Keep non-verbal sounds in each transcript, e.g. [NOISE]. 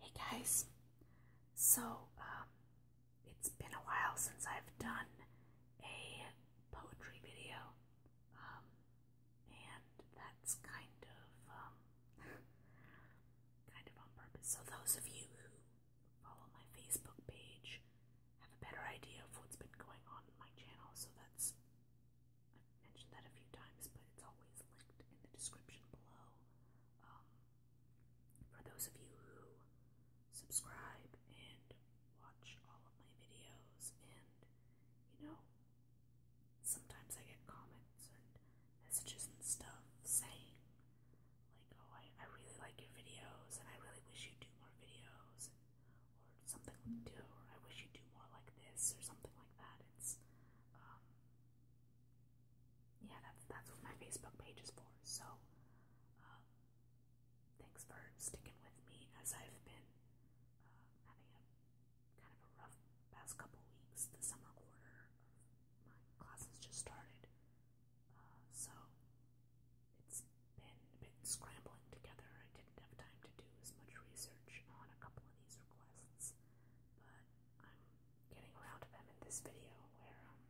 Hey guys, so um, it's been a while since I've done a poetry video, um, and that's kind of um, [LAUGHS] kind of on purpose. So those of you who follow my Facebook page have a better idea of what's been going on in my channel, so that's I've mentioned that a few times, but it's always linked in the description below. Um, for those of you who subscribe and watch all of my videos, and you know, sometimes I get comments and messages and stuff saying, like, oh, I, I really like your videos, and I really wish you'd do more videos, or something, do, or I wish you'd do more like this, or something like that. It's, um, yeah, that's that's what my Facebook page is for. So, uh, thanks for sticking with me as I've been uh, having a kind of a rough past couple weeks. The summer quarter of my classes just started, uh, so it's been a bit scrambling together. I didn't have time to do as much research on a couple of these requests, but I'm getting around to them in this video where um,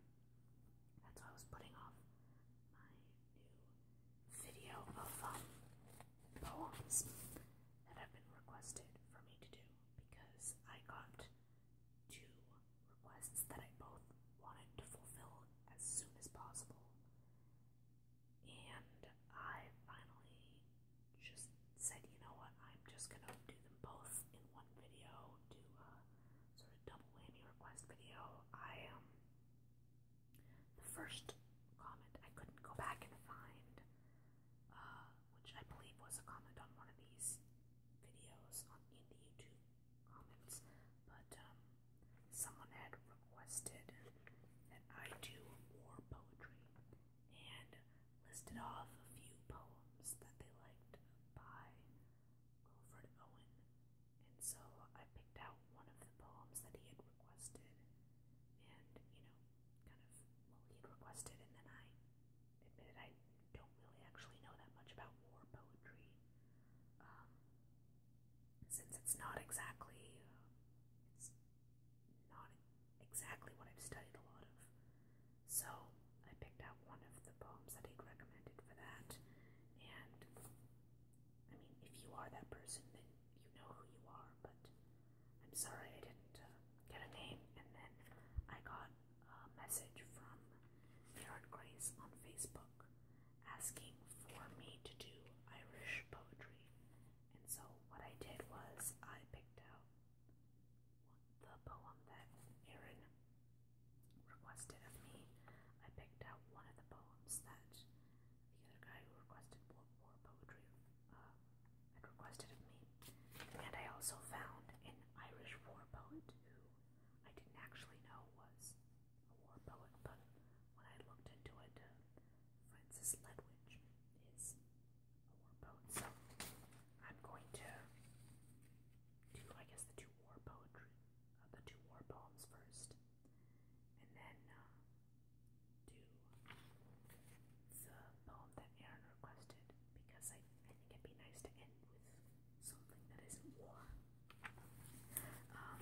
that's why I was putting off my new video of um, poems that have been requested for me to do because I got two requests that I both wanted to fulfill as soon as possible. And I finally just said, you know what, I'm just going to do them both in one video, do a sort of double whammy request video. I, um, the first comment I couldn't go back and find, uh, which I believe was a comment on one of these videos on, in the YouTube comments, but, um, someone had requested that I do war poetry and listed off a few poems that they liked by Wilfred Owen. And so I picked out one of the poems that he had requested, and you know, kind of what he requested, and then I admitted I don't really actually know that much about war poetry, um, since it's not exactly, uh, not exactly what I've studied a lot of. So I picked out one of the poems that he'd recommended for that. And I mean, if you are that person, then you know who you are, but I'm sorry I didn't uh, get a name. And then I got a message from Karen Grace on Facebook asking for me to do Irish poetry. And so what I did was I picked out the poem that Aaron requested of me. I picked out one of the poems that the other guy who requested war, poetry uh, had requested of me. And I also found an Irish war poet who I didn't actually know was a war poet, but when I looked into it, uh, Francis Ledwidge is war boat. So I'm going to do, I guess, the two war poetry, uh, the two war poems first, and then uh, do the poem that Aaron requested because I, think it'd be nice to end with something that war. Um,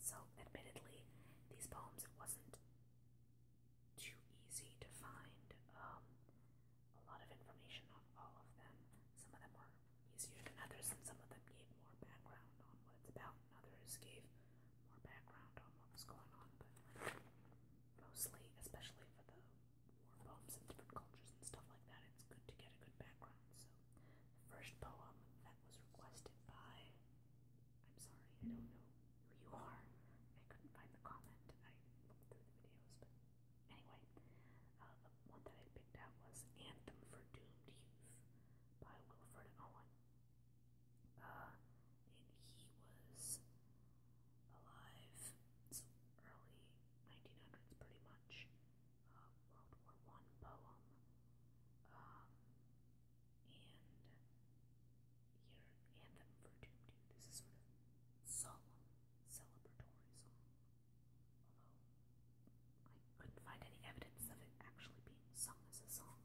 so admittedly, these poems it wasn't too easy to find um, a lot of information on all of them. Some of them were easier than others, and some of them gave more background on what it's about, and others gave more background on what was going on. But mostly, especially for the war poems and different cultures and stuff like that, it's good to get a good background. So, the first poem that was requested by. I'm sorry, I don't know who you are. I couldn't find the comment. I looked through the videos, but anyway, uh, the one that I picked out was "Anthem for Doomed Youth" by Wilfred Owen, uh, and he was alive so early 1900s, pretty much. Uh, World War One poem, um, and here anthem for Doom Doom. This is sort of solemn, celebratory song. Although I couldn't find any evidence of it actually being sung as a song,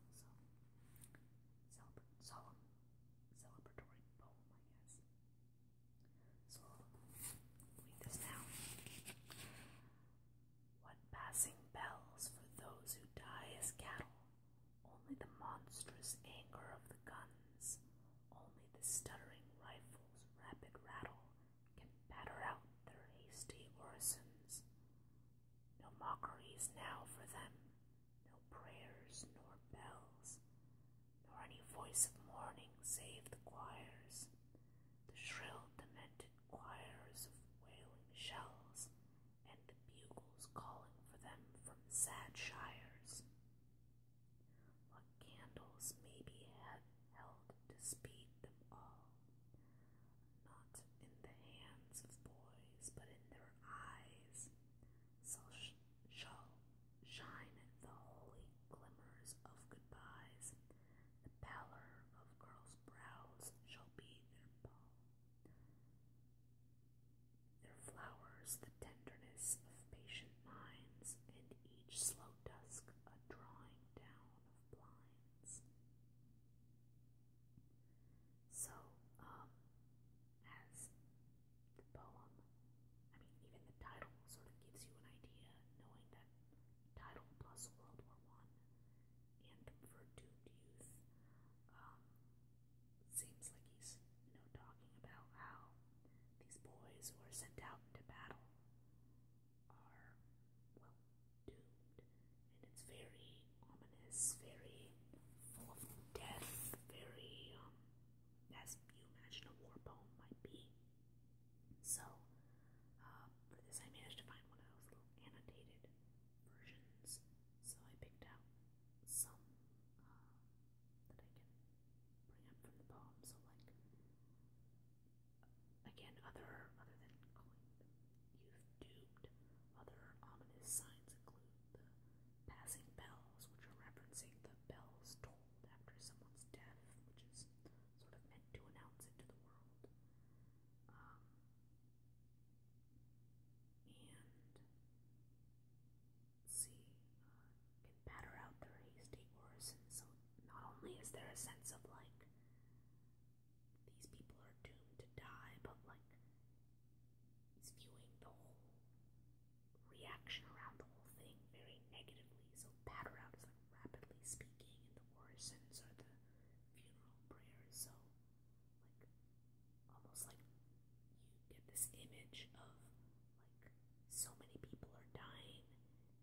so solemn, celebratory poem, I guess. So read this now. What passing bells for those who die as cattle only the monstrous anger of the guns, only the stuttering rifle's rapid rattle can batter out their hasty orisons. No mockeries now for them, no prayers nor bells, nor any voice of mourning save the choirs, the shrill, demented choirs of wailing shells and the bugles calling for them from sad shires. What candles maybe held to speed them all, not in the hands of boys, but in their eyes, shall, shall shine the holy glimmers of goodbyes. The pallor of girls' brows shall be their pall. There flowers the tenderness of patient minds, and each slow dusk a drawing down of blinds. So, um, as the poem, I mean, even the title sort of gives you an idea, knowing that title plus World War One and for doomed um, Seems like he's, you know, talking about how these boys who are sent out into battle are, well, doomed. And it's very ominous, very full of death, very, um, as you imagine a war poem might be. So, um, for this I managed to find one of those little annotated versions, so I picked out some uh, that I can bring up from the poem. So like again, other other than youth doomed, other ominous signs include the passing bells, which are referencing the bells tolled after someone's death, which is sort of meant to announce it to the world. Um, and see can uh, batter out their hasty orison. So not only is there a sense of like these people are doomed to die, but like he's viewing the whole reaction around the whole thing very negatively. So batter out is like rapidly speaking, in the war orisons are the funeral prayers. So like almost like you get this image of like so many people are dying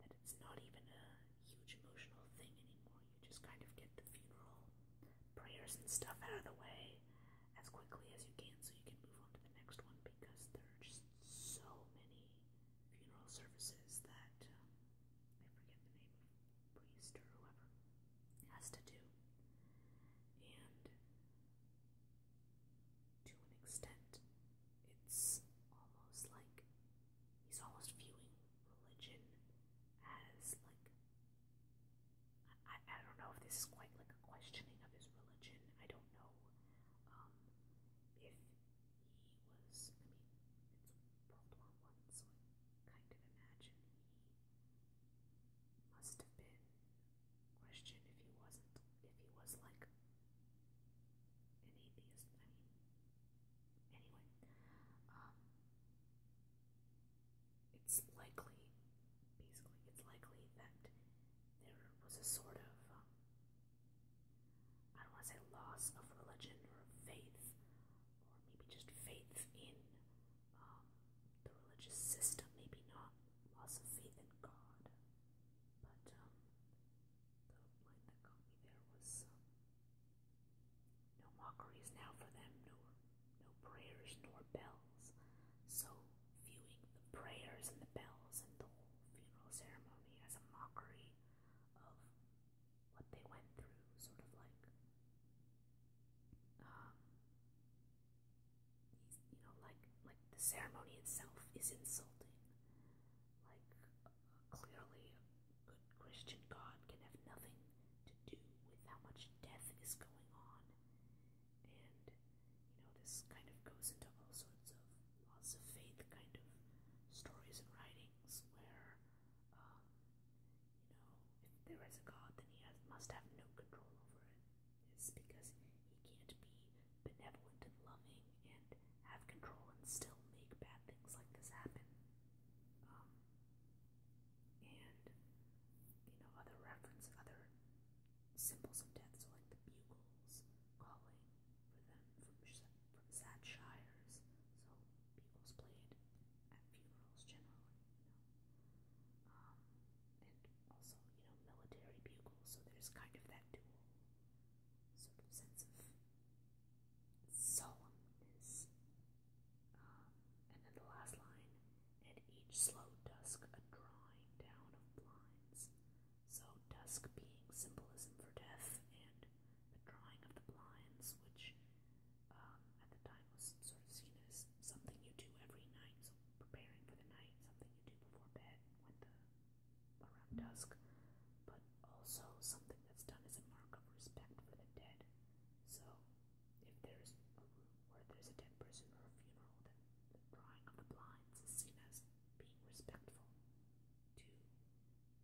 that it's not even a huge emotional thing anymore. You just kind of get the funeral prayers and stuff out of the way as quickly as you can so you can move on to the next one because there are just so many funeral services that um, I forget the name priest or whoever has to do. And to an extent. It's almost like he's almost viewing religion as like I, I don't know if this is quite like a questioning of his religion. I don't know um, if he was. I mean, it's World War One, so I kind of imagine he must have been question if he wasn't if he was like an atheist. I mean, anyway, um, it's likely, basically, it's likely that there was a sort of um, I don't want to say loss of religion or faith, or maybe just faith in um, the religious system, maybe not loss of faith in God, but um, the line that got me there was um, no mockeries now for them, no, no prayers nor bells. So viewing the prayers and the bells and the whole funeral ceremony as a mockery of what they went through, sort of like um, you know, like like the ceremony itself is insulting. Like clearly, good Christian God can have nothing to do with how much death is going on, and you know this kind of goes into all sorts of loss of faith kind of stories and writings where, um, you know, if there is a God, then he has, must have no control over it. It's because he can't be benevolent and loving and have control and still make bad things like this happen. Um, and, you know, other reference, other symbols of death, so like the bugles calling for them from, from sad shires, so bugles played at funerals generally, um, and also, you know, military bugle, so there's kind of that dual sort of sense of solemnness. Um, and then the last line, and each slow dusk a drawing down of blinds. So, dusk being symbolism for death, and the drawing of the blinds, which um, at the time was sort of seen as something you do every night, so preparing for the night, something you do before bed when the around dusk, but also something that's done as a mark of respect for the dead. So if there's a room where there's a dead person or a funeral, then the drawing of the blinds is seen as being respectful to the dead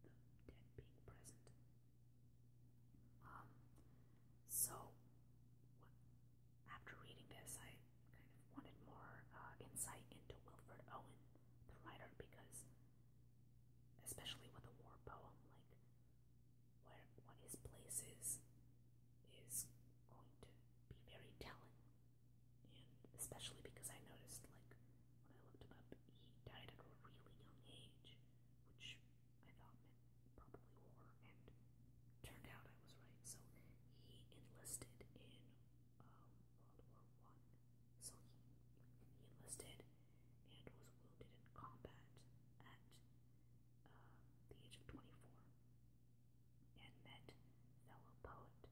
being present. Um, so, what, after reading this, I kind of wanted more uh, insight into Wilfred Owen, the writer, because especially with the war poem, like where what his places is going to be very telling. And especially because I noticed, like, when I looked him up, he died at a really young age, which I thought probably war, and turned out I was right. So he enlisted in um, World War One. So he he enlisted and was wounded in combat at uh, the age of 24, and met fellow poet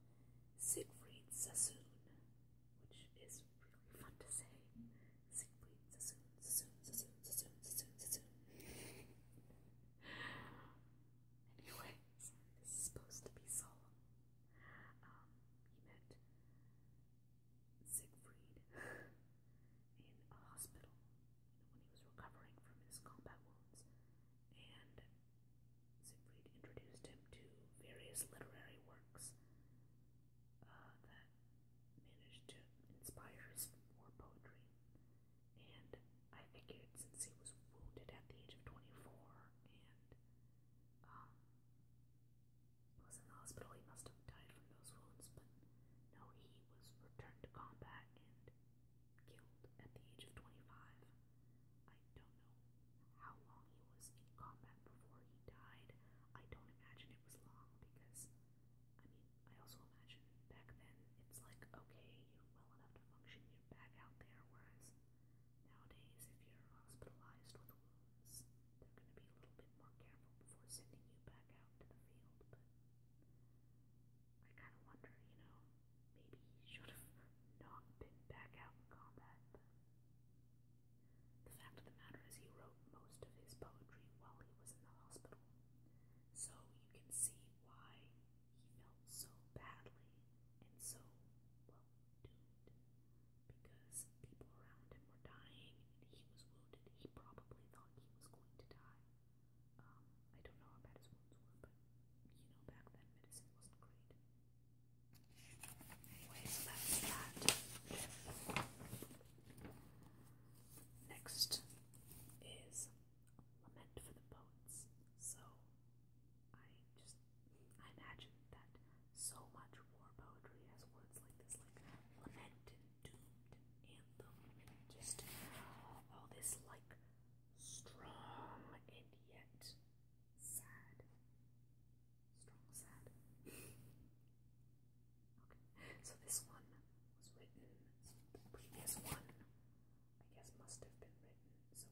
Siegfried Sassoon, which is really fun to say. Siegfried Sassoon. Anyways, this is supposed to be solemn. Um, he met Siegfried in a hospital, when he was recovering from his combat wounds, and Siegfried introduced him to various literary works uh, that managed to inspire his more poetry. And I figured since he was wounded at the age of 24 and um, was in the hospital, he must have died from those wounds. But no, he was returned to combat and killed at the age of 25. I don't know how long he was in combat before he died. I don't imagine it was long because, I mean, I also imagine back then it's like, okay, you're well enough to function, you're back out there, whereas nowadays if you're hospitalized with wounds, they're going to be a little bit more careful before sending you back out to the field, but I kind of wonder, you know, maybe he should have not been back out in combat, the fact of the matter is he wrote most of his poetry while he was in the hospital. So you can see why he felt so badly and so, well, doomed. Because people around him were dying and he was wounded. He probably thought he was going to die. Um, I don't know how bad his wounds were, but you know, back then medicine wasn't great. Anyway, so that's that. Next is lament for the poets. So I just I imagine that so much war poetry has words like this, like lament and doomed and anthem and just all this like strong and yet sad. Strong sad. [LAUGHS] okay. So this one was written the previous one I guess must have been written. So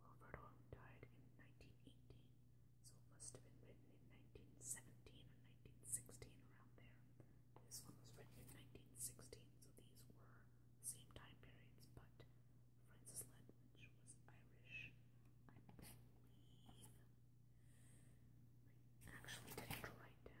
Wilfred Owen died in 1918, so it must have been written in 1917 or 1916 around there. This one was written in 1916, so these were same time periods, but Francis Ledwidge was Irish, I actually didn't write down where Wilfred Owen was from.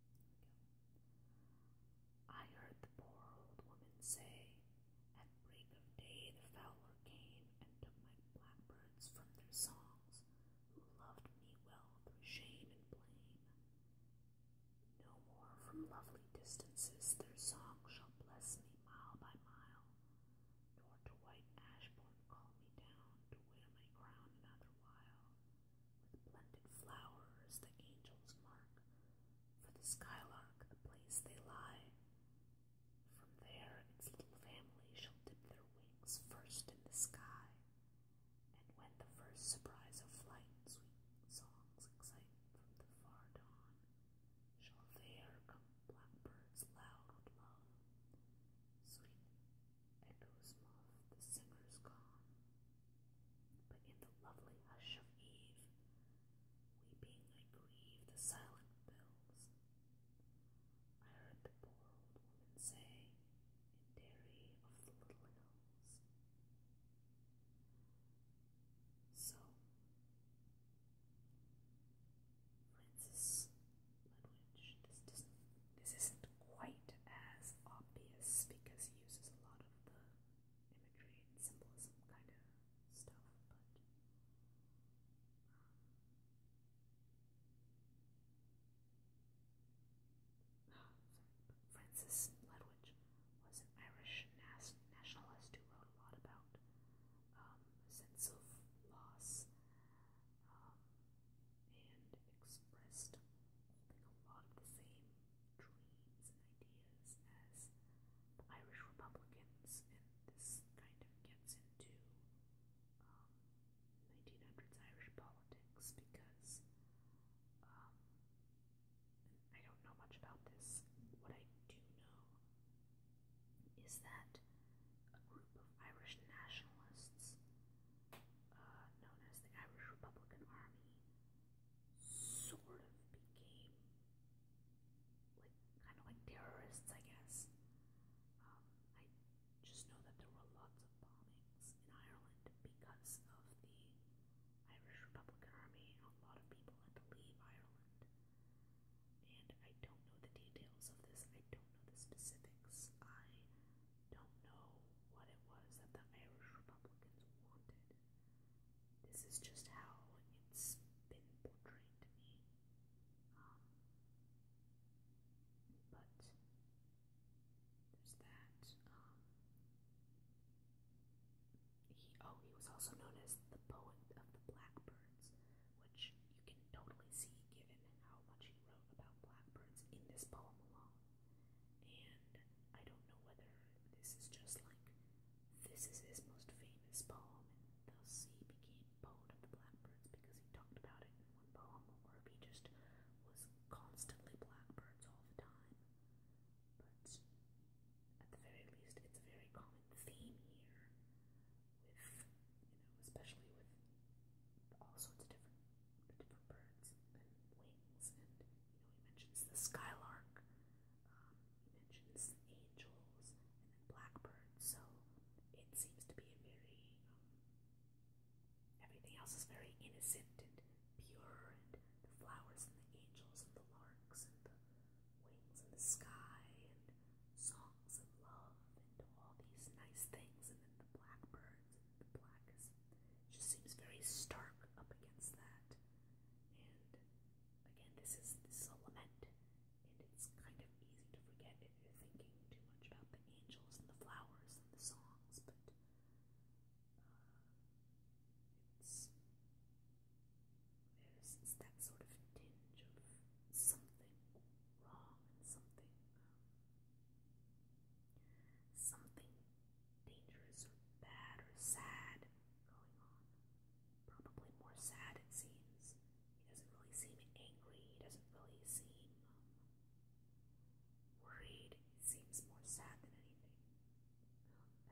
I heard the poor old woman say, At break of day the fowler came and took my blackbirds from their songs, who loved me well through shame and blame. No more from lovely distances their song shall bless me mile by mile, nor to white Ashbourne call me down to wear my crown another while with blended flowers the angels mark, for the skylark the place they lie. From there its little family shall dip their wings first in the sky, and when the first surprise of flight sweet songs excite from the far dawn, shall there come blackbirds loud with love, sweet echoes moth the singer's gone. But in the lovely hush of eve, weeping I grieve the silent bells. I heard the poor old woman say, in dairy of the little hills. So, Francis Ledwidge, this, this, this isn't quite as obvious because he uses a lot of the imagery symbolism kind of stuff, but um, [GASPS] Francis Ledwidge was an Irish nationalist who wrote a lot about a um, sense of loss um, and expressed a lot of the same dreams and ideas as the Irish Republicans, and this kind of gets into um, 1900s Irish politics because um, I don't know much about this. What I do know is that a group of Irish nationalists, uh, known as the Irish Republican Army, sort of became like kind of like terrorists, I guess. Um, I just know that there were lots of bombings in Ireland because of the Irish Republican Army, a lot of people had to leave Ireland. And I don't know the details of this, I don't know the specifics. I don't know what it was that the Irish Republicans wanted. This is just how it's been portrayed to me. Um, but there's that. Um, he, oh, he was also known as the poet of the blackbirds, which you can totally see given how much he wrote about blackbirds in this poem alone. And I don't know whether this is just like this is his most famous poem, thus he became poet of the blackbirds because he talked about it in one poem, or if he just was constantly blackbirds all the time. But at the very least, it's a very common theme here, with you know, especially with all sorts of different different birds and wings and you know, he mentions the skylark, um, he mentions angels, and then blackbirds. So it seems to be a very um, everything else is very innocent and pure, and the flowers and the angels and the larks and the wings and the sky and songs of love and all these nice things, and then the blackbirds and the black just seems very stark up against that. And again, this is this is a lament, and it's kind of easy to forget if you're thinking too much about the angels and the flowers and the songs, but uh, there's that sort of tinge of something wrong something um, something dangerous or bad or sad going on. Probably more sad, it seems. He doesn't really seem angry, he doesn't really seem um, worried. He seems more sad than anything.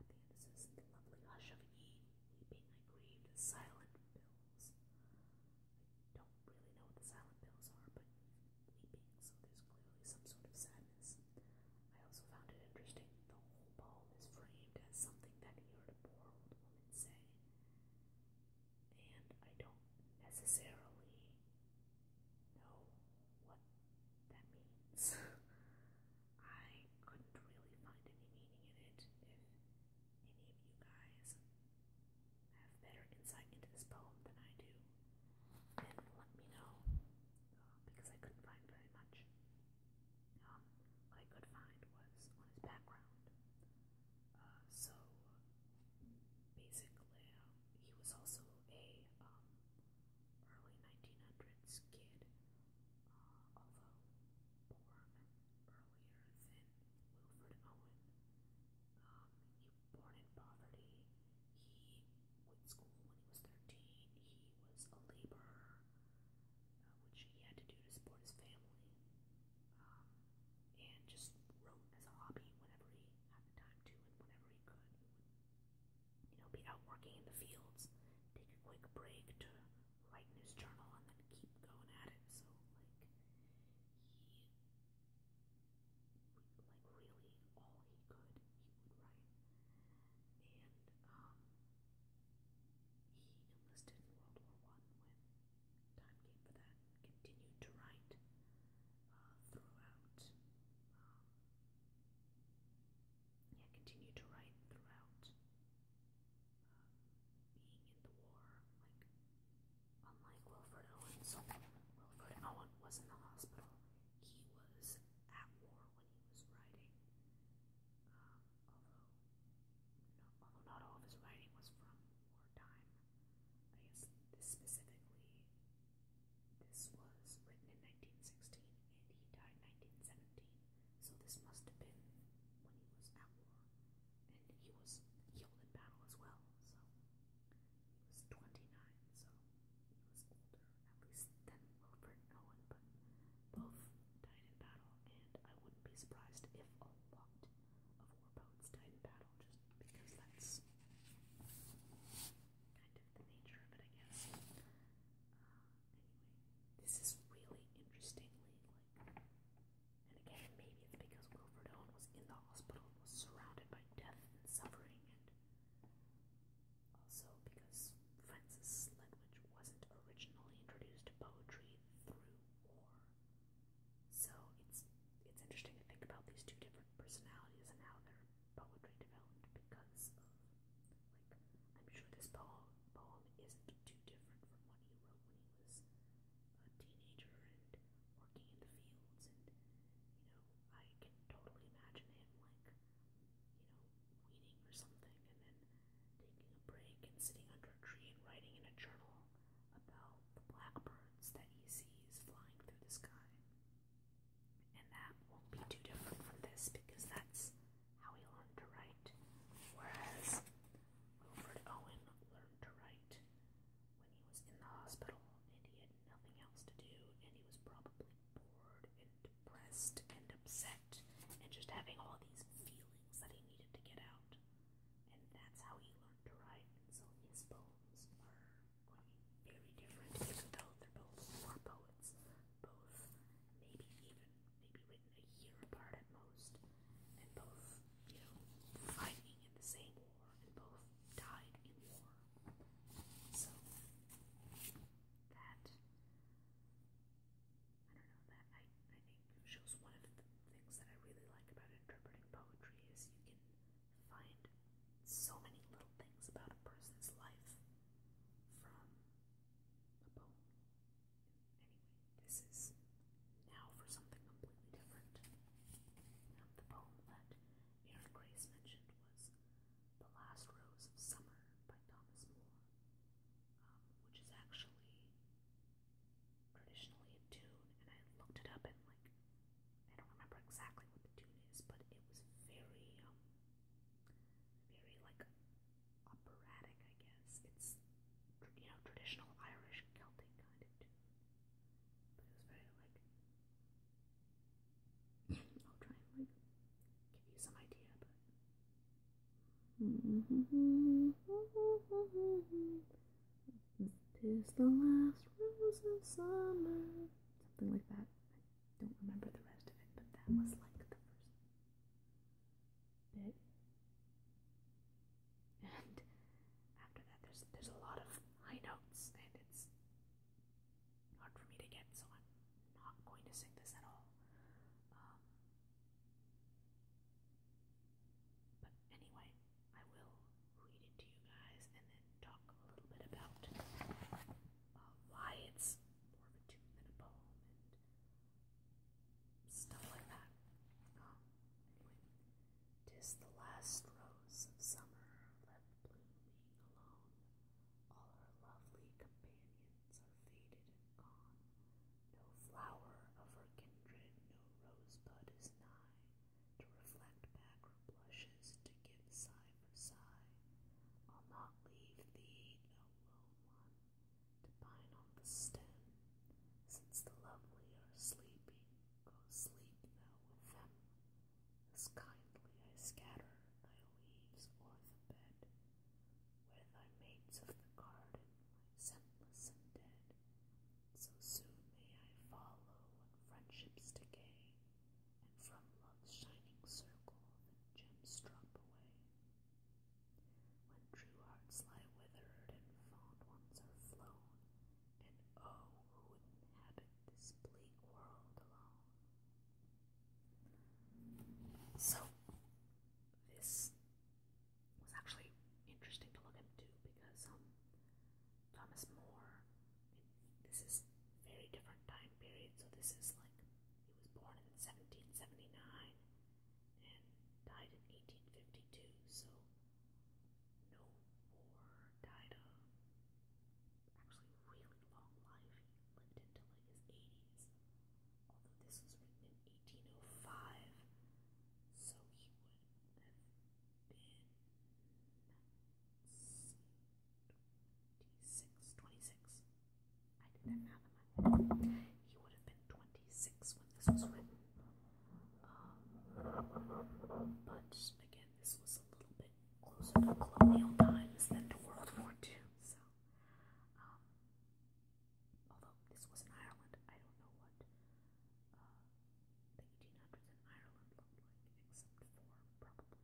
Um, at the end, it says, the lovely hush of eve, weeping, I grieved, silent bills. I don't really know what the silent bills are, but weeping, so there's clearly some sort of sad I also found it interesting that the whole poem is framed as something that he heard a poor old woman say. And I don't necessarily know what that means. [LAUGHS] I couldn't really find any meaning in it. If any of you guys have better insight into this poem than I do, then let me know uh, because I couldn't find very much. Um, what I could find was on his background. Uh, so basically, he was also a um, early 1900s kid, uh, although born earlier than Wilfred Owen. Um, born in poverty he quit school when he was 13. He was a laborer, which he had to do to support his family, and just wrote as a hobby whenever he had time to and whenever he could. you know, be out working in the fields, take a quick break to write in his journal, and then keep going at it. So, like, he. Like, really, all he could, he would write and um, he enlisted in World War One when time came for that. Continued to write uh, throughout. Um, yeah, continued to write throughout um, being in the war. Like unlike Wilfred Owen, so Wilfred Owen was in the hospital. He was at war he was writing, um, although, not all of his writing was from wartime. I guess this specifically, this was written in 1916 and he died 1917, so this must have been when he was at war. And he was killed in battle as well, so he was 29, so at least, than Wilfred Owen, but both died in battle, and I wouldn't be surprised if a lot of war poets died in battle, just because that's kind of the nature of it, I guess. anyway, this is really interestingly, like, and again, maybe it's because Wilfred Owen was in the hospital, was surrounded by death and suffering, and also, because Francis Sledwich wasn't originally introduced to poetry through war. So it's it's interesting to think about these two different personalities and how their poetry developed because like I'm sure this poem poem isn't too different from what he wrote when he was a teenager and working in the fields and you know, I can totally imagine him like you know, weeding or something, and then taking a break and sitting under a tree and writing in a journal about the blackbirds that he sees flying through the sky. And that won't be too different from this because that's how he learned to write. Whereas Wilfred Owen learned to write when he was in the hospital and he had nothing else to do, and he was probably bored and depressed and upset and just having all these feelings that he needed to get out. And that's how he learned to write. And so his poems are very different, even though they're both war poets, both maybe even maybe written a year apart at most, and both, you know, fighting in the same war, and both died in war. So that I don't know that I I think shows one of the things that I really like about interpreting poetry is you can find so many little things about a person's life from a poem. Anyway, this is now for something completely different. the poem that Aaron Grace mentioned was the Last Rose of Summer by Thomas Moore, um, which is actually traditionally a tune, and I looked it up and like I don't remember exactly what the tune is, but it was very, um, very like operatic, I guess. It's you know traditional Irish Celtic kind of tune, but it was very like I'll try and like give you some idea, but [LAUGHS] Tis the last rose of summer. Something like that. I don't remember the rest of it, but that was like the first bit. And after that, there's there's a lot of high notes, and it's hard for me to get, so I'm not going to sing this at all. Um, but anyway, I will read it to you guys and then talk a little bit about uh, why it's more of a tune than a poem and stuff like that. Um, the last rose of summer, alone. All her lovely companions are faded and gone. No flower of her kindred, no rosebud is nigh to reflect back her blushes, to give sigh for sigh. I'll not leave thee, no lone one, to pine on the stem, since the lovely are sleeping. Go sleep thou with them. As kindly I scatter thy leaves o'er the bed, Where thy mates of the garden lie scentless and dead, So soon may I follow when friendships decay, And from love's shining circle the gems drop away. When true hearts lie withered and fond ones are flown, And oh, who would inhabit this bleak world alone? So, this was actually interesting to look into because um, Thomas More, this is very different time period. So, this is like he was born in 1779 and died in 1852. So, no war died actually really long life. He lived until like his 80s, although this was written in 1805, so he would have been 26, 26. I did that math in my head. He would have been 26 when this was written. Um, but again, this was a little bit closer to colonial times than to World War II. So, um, although this was in Ireland, I don't know what uh, the 1800s in Ireland looked like,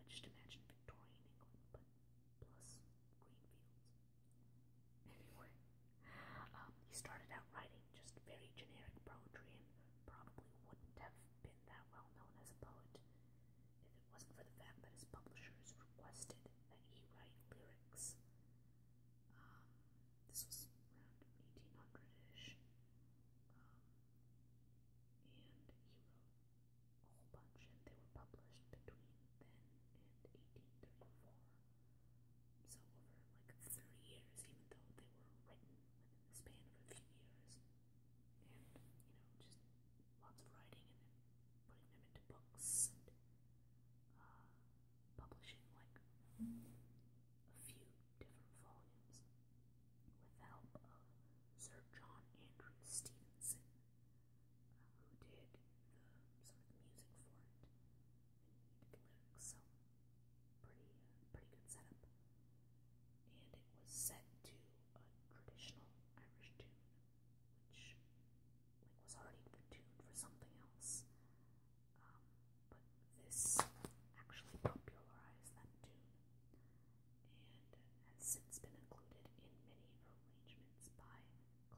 except for probably, I just imagine Victorian England, but plus green fields. Anyway, um, he started out writing just very generic poetry and probably wouldn't have been that well known as a poet if it wasn't for the fact that his publishers requested that he write lyrics. Um, this was around 1800-ish, um, and he wrote a whole bunch, and they were published between then and 1834. So over like 30 years, even though they were written within the span of a few years and you know just lots of writing and putting them into books uh, publishing like a few different volumes with help of Sir John Andrew Stevenson, uh, who did the sort of music for it, so pretty, uh, pretty good setup and it was set to a traditional Irish tune, which like was already tuned for something else. Um, but this actually popularized that tune, and has since been included in many arrangements by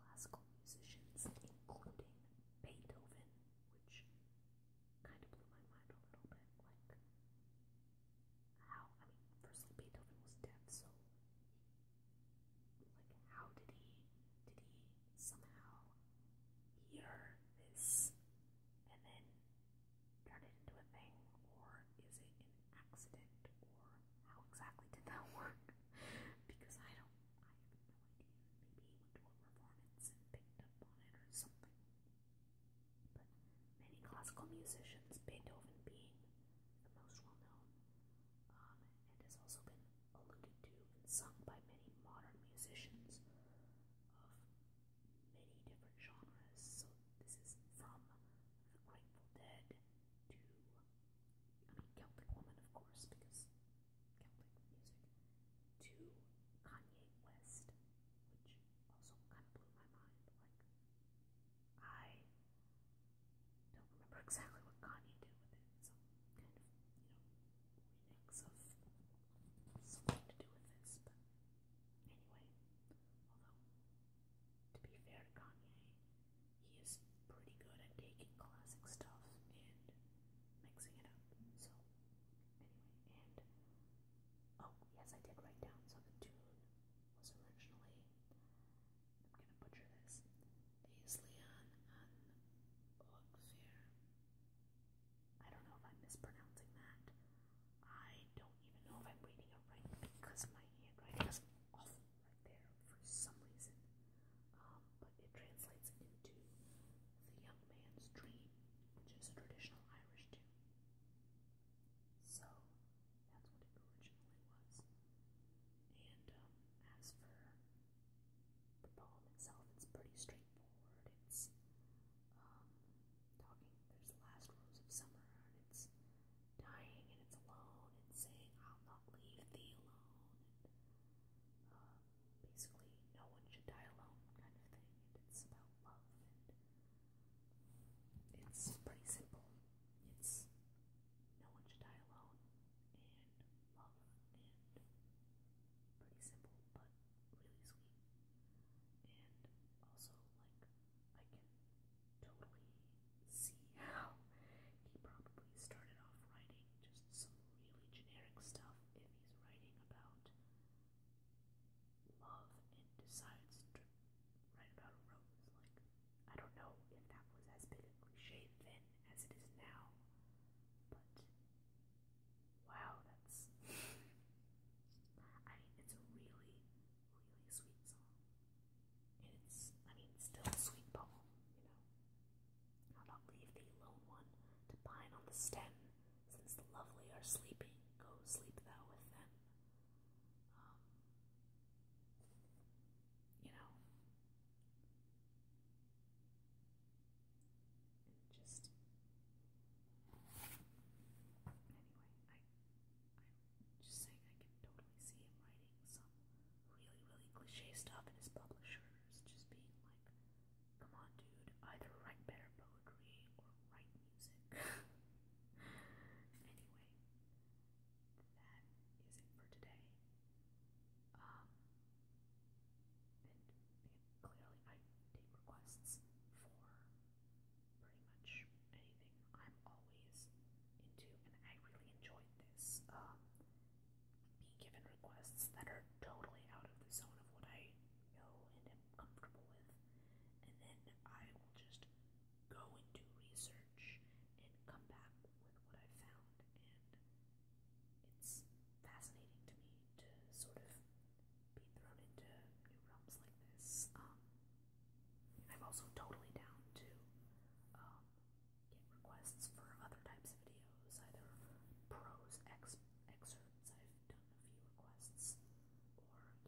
classical musicians, including Beethoven, which kind of blew my mind a little bit. Like how, I mean, firstly Beethoven was deaf, so, like, how did he, did he somehow hear this and then turn it into a thing, or is it an accident, or how exactly did that [LAUGHS] work? because I don't, I have no idea. Maybe he went to a performance and picked up on it or something. But many classical musicians, Beethoven being the most well known, um, and has also been alluded to and sung by many modern musicians of many different genres. So this is from the Grateful Dead to, I mean, Celtic Woman, of course, because Celtic music, to Kanye West, which also kind of blew my mind. Like, I don't remember exactly what Kanye did with it. Some kind of, you know, remix of something to do with this. But anyway, although to be fair to Kanye, he is pretty good at taking classic stuff and mixing it up. So anyway, and oh yes, I did write down so tune was originally, I'm going to butcher this, Aislian and Ogfir. I don't know if I'm mispronouncing that. I don't even know if I'm reading it right because my handwriting is awful right there for some reason. Um, but it translates into The Young Man's Dream, which is a traditional Irish tune. So that's what it originally was. And um, as for the poem itself, it's pretty straightforward. It's um, talking, there's last rose summer, and it's dying, and it's alone, and saying, I'll not leave thee alone. And, uh, basically, no one should die alone, kind of thing. And it's about love it's pretty simple. It's no one should die alone and love and pretty simple but really sweet. And also like I can totally see how he probably started off writing just some really generic stuff if he's writing about love and decides to write about a Like, I don't know if that was as big a cliche then as it is now, but wow, that's. I mean, it's a really, really sweet song. And it's, I mean, still a sweet poem, you know. I'll leave thee lone one to pine on the stem, since the lovely are sleeping. Go sleep thou with them. Um, you know, and just anyway, I I'm just saying I can totally see him writing some really really cliche stuff, and his publishers just being like, "Come on, dude, either write better poetry or write music. anyway, that is it for today. and, clearly, I take requests for pretty much anything. Uh, I'm always into, and I really enjoyed this. being given requests that are totally out of the zone of what I know and am comfortable with, and then I will just go and do research and come back with what I found. And it's fascinating to me to sort of be thrown into new realms like this. Um, I'm also totally down to um, get requests for other types of videos, either prose ex excerpts, I've done a few requests, or